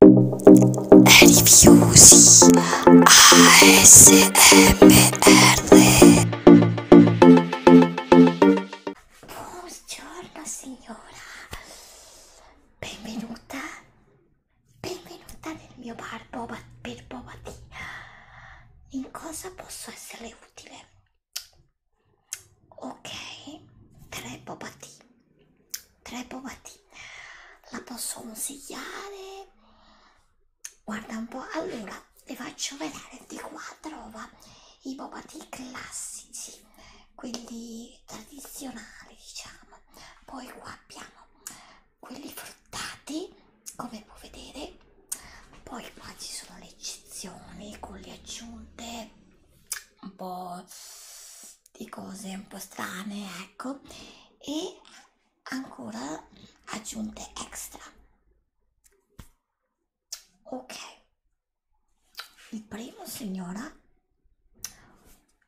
Rifiusi ASMR Buongiorno signora, benvenuta, benvenuta nel mio bar Boba, per Boba Tea. In cosa posso essere utile? Ok, tre Boba Tea tre pomati la posso consigliare guarda un po' allora vi faccio vedere di qua trova i pomati classici quelli tradizionali diciamo poi qua abbiamo quelli fruttati come puoi vedere poi qua ci sono le eccezioni con le aggiunte un po' di cose un po' strane, ecco, e ancora aggiunte extra. Ok, il primo signora,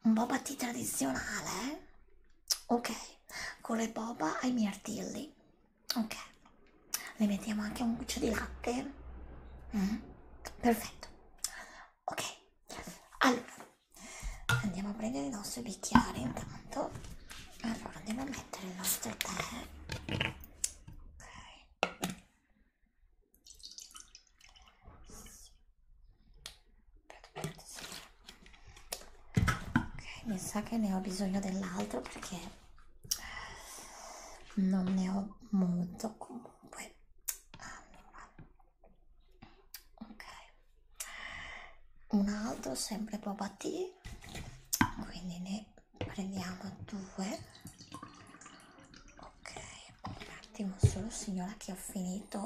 un boba tea tradizionale, eh? ok, con le boba ai mirtilli, ok, le mettiamo anche un goccio di latte, mm? perfetto ok allora andiamo a prendere il nostro bicchiere intanto allora andiamo a mettere il nostro tè ok Ok, mi sa che ne ho bisogno dell'altro perché non ne ho molto comunque. Allora, ok un altro sempre boba tea quindi ne prendiamo due ok un attimo solo signora che ho finito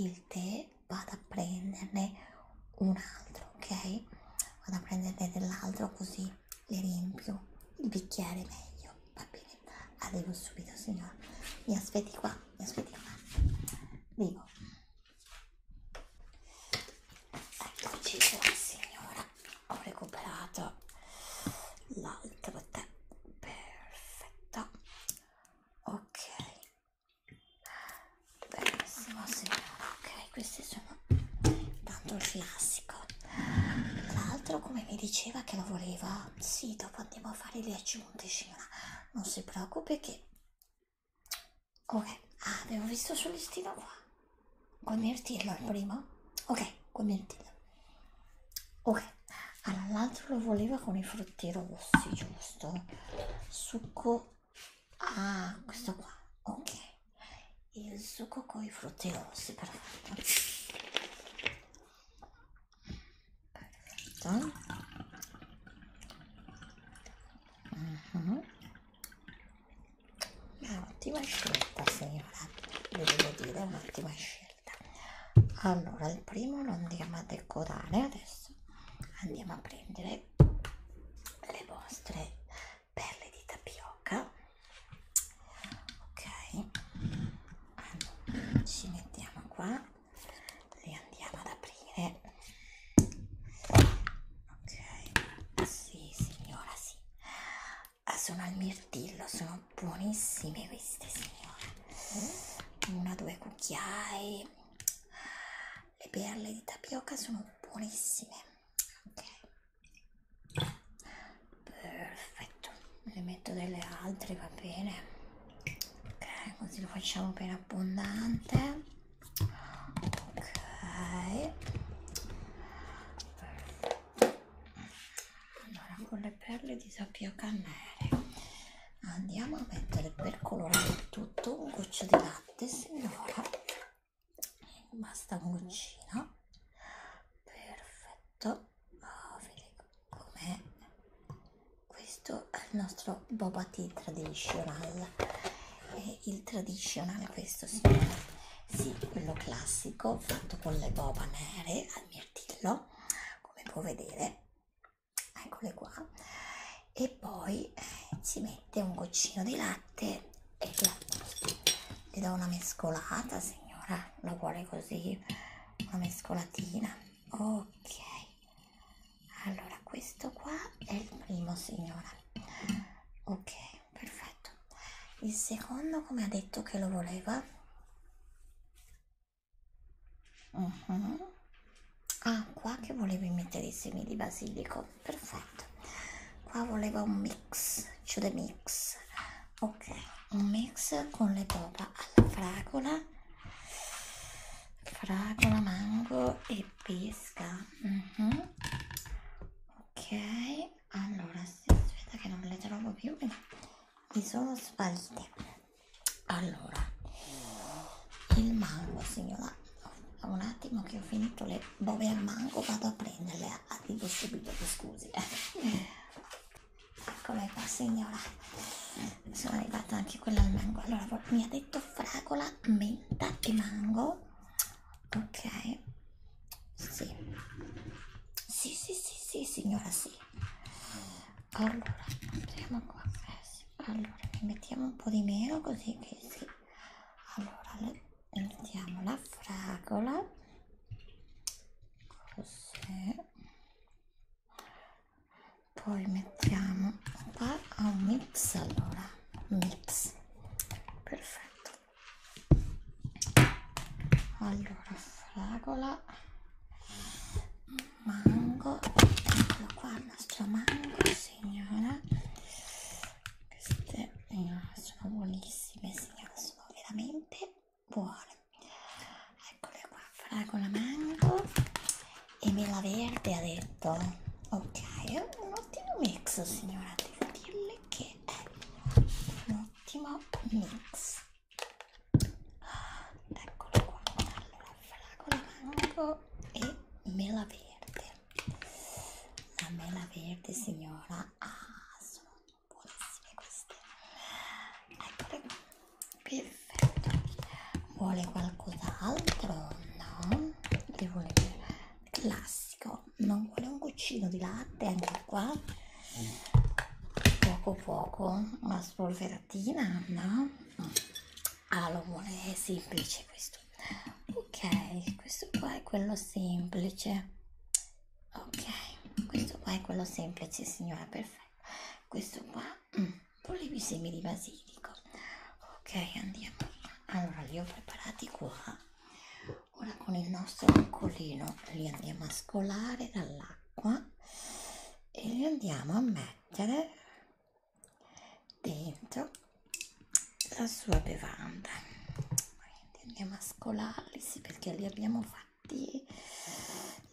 il tè vado a prenderne un altro ok vado a prenderne dell'altro così le riempio il bicchiere meglio va bene arrivo subito signora mi aspetti qua mi aspetti qua dico eccoci qua signora ho recuperato l'altro tè perfetto ok benissimo signora ok questi sono tanto il classico tra l'altro come mi diceva che lo voleva sì dopo andiamo a fare le aggiunte signora non si preoccupi che ok ah, avevo visto sul listino qua convertirlo al primo ok convertirlo ok allora l'altro lo voleva con i frutti rossi giusto succo ah questo qua ok il succo con i frutti rossi perfetto Perfetto. Uh -huh. Ottima scelta, signora. Vi devo dire, un'ottima scelta. Allora, il primo lo andiamo a decorare adesso. Andiamo a prendere le vostre perle di tapioca ok allora, ci mettiamo qua e andiamo ad aprire ok sì signora sì ah, sono al mirtillo sono buonissime queste signora una due cucchiai le perle di tapioca sono buonissime ok perfetto ne metto delle altre va bene ok così lo facciamo bene abbondante ok perfetto. allora con le perle di sapioca nere andiamo a mettere per colorare il tutto un goccio di latte signora basta un goccino perfetto ma vedete com'è questo è il nostro boba tea traditional è il traditional questo signore sì, quello classico fatto con le boba nere al mirtillo come può vedere eccole qua e poi eh, si mette un goccino di latte e il latte le do una mescolata signora la vuole così una mescolatina ok allora questo qua è il primo signora ok perfetto il secondo come ha detto che lo voleva uh mhm. -huh. ah qua che volevi mettere i semi di basilico perfetto qua voleva un mix cioè the mix ok un mix con le boba alla fragola fragola mango e pesca mm -hmm. ok allora aspetta che non le trovo più perché mi sono sparite allora il mango signora un attimo che ho finito le bobe al mango vado a prenderle arrivo ah, subito scusi Eccole qua signora, sono arrivata anche quella al mango, allora mi ha detto fragola, menta e mango, ok, sì, sì, sì, sì, sì signora, sì, allora andiamo qua, eh, allora ne mettiamo un po' di meno così che sì, allora mettiamo la fragola così poi mettiamo qua a un mix allora mix perfetto allora fragola mango eccolo qua il nostro mango signora queste eh, sono buonissime signora sono veramente buone eccole qua fragola mango e mela verde ha detto ok è un ottimo mix signora devo dirle che è un ottimo mix eccolo qua allora fragola mango e mela verde la mela verde signora ha ah, sono buonissime queste eccole qua perfetto vuole qualcos'altro no che vuole classico non vuole un goccino di latte anche qua poco poco una spolveratina no ah lo vuole è semplice questo ok questo qua è quello semplice ok questo qua è quello semplice signora perfetto questo qua mm. volevi semi di basilico ok andiamo allora li ho preparati qua ora con il nostro accolino li andiamo a scolare dall'acqua e li andiamo a mettere dentro la sua bevanda quindi andiamo a scolarli sì perché li abbiamo fatti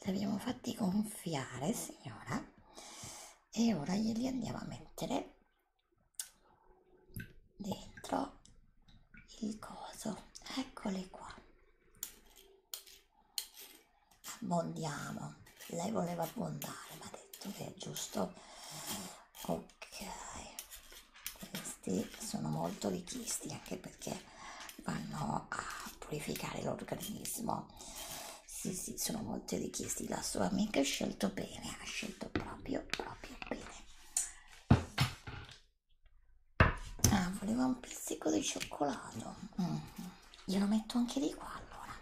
li abbiamo fatti gonfiare signora e ora glieli andiamo a mettere dentro il coso eccoli qua abbondiamo lei voleva abbondare ma ha detto che è giusto ok questi sono molto richiesti anche perché vanno a purificare l'organismo sì sì sono molto richiesti la sua amica ha scelto bene ha scelto proprio proprio bene ah voleva un pizzico di cioccolato mm. glielo metto anche di qua allora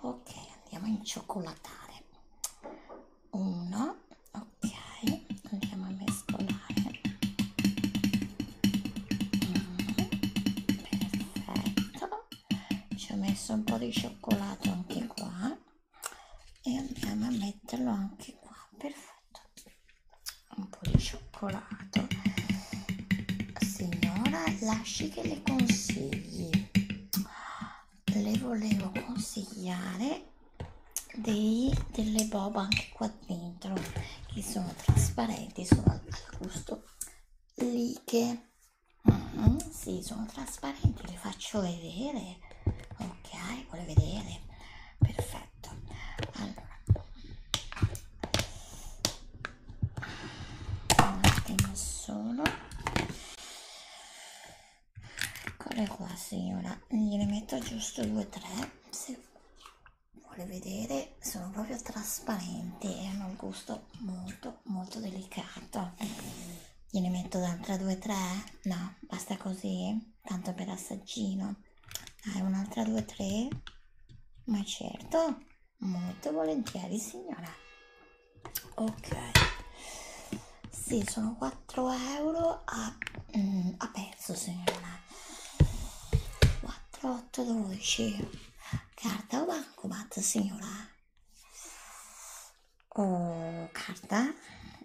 ok andiamo in cioccolatare 1 ok andiamo a mescolare mm, perfetto ci ho messo un po' di cioccolato anche qua e andiamo a metterlo anche qua perfetto un po' di cioccolato signora lasci che le consigli le volevo consigliare dei, delle boba anche qua dentro che sono trasparenti sono al gustoliche mm, mm-hmm. si sì, sono trasparenti le faccio vedere ok vuole vedere perfetto allora un attimo solo eccole qua signora gliene metto giusto due o tre se vuole vedere sono proprio trasparenti e hanno un gusto molto molto delicato gliene metto d'altra due o tre no basta così tanto per assaggino dai un'altra due o tre ma certo molto volentieri signora ok sì sono 4 euro a, mm, a pezzo signora 4 8 12 carta o bancomat signora oh, carta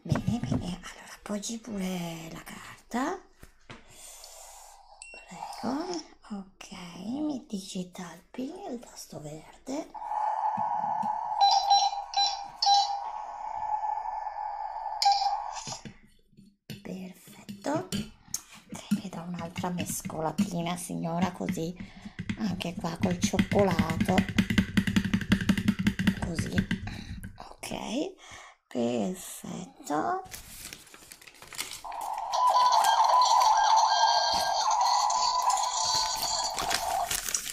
bene bene allora appoggi pure la carta prego ok mi digital pin il tasto verde perfetto e da un'altra mescolatina signora così anche qua col cioccolato così ok perfetto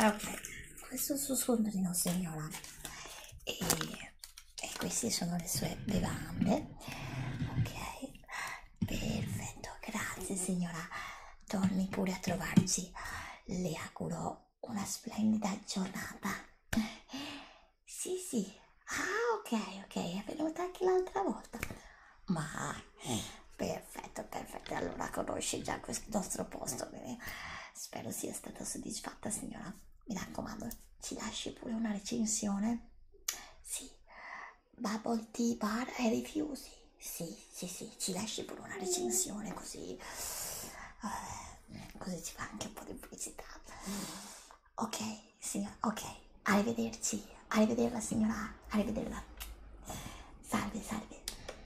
ok questo suo scontrino signora e, e queste sono le sue bevande ok perfetto grazie signora torni pure a trovarci le auguro una splendida giornata sì sì ah ok ok è venuta anche l'altra volta ma mm. perfetto perfetto allora conosci già questo nostro posto bene? Spero sia stata soddisfatta signora. Mi raccomando, ci lasci pure una recensione? Sì. Bubble tea bar e rifiuti? Sì, sì, sì, ci lasci pure una recensione così... Uh, così ci fa anche un po' di pubblicità. Ok, signora, ok. Arrivederci. Arrivederla signora. Arrivederla. Salve, salve.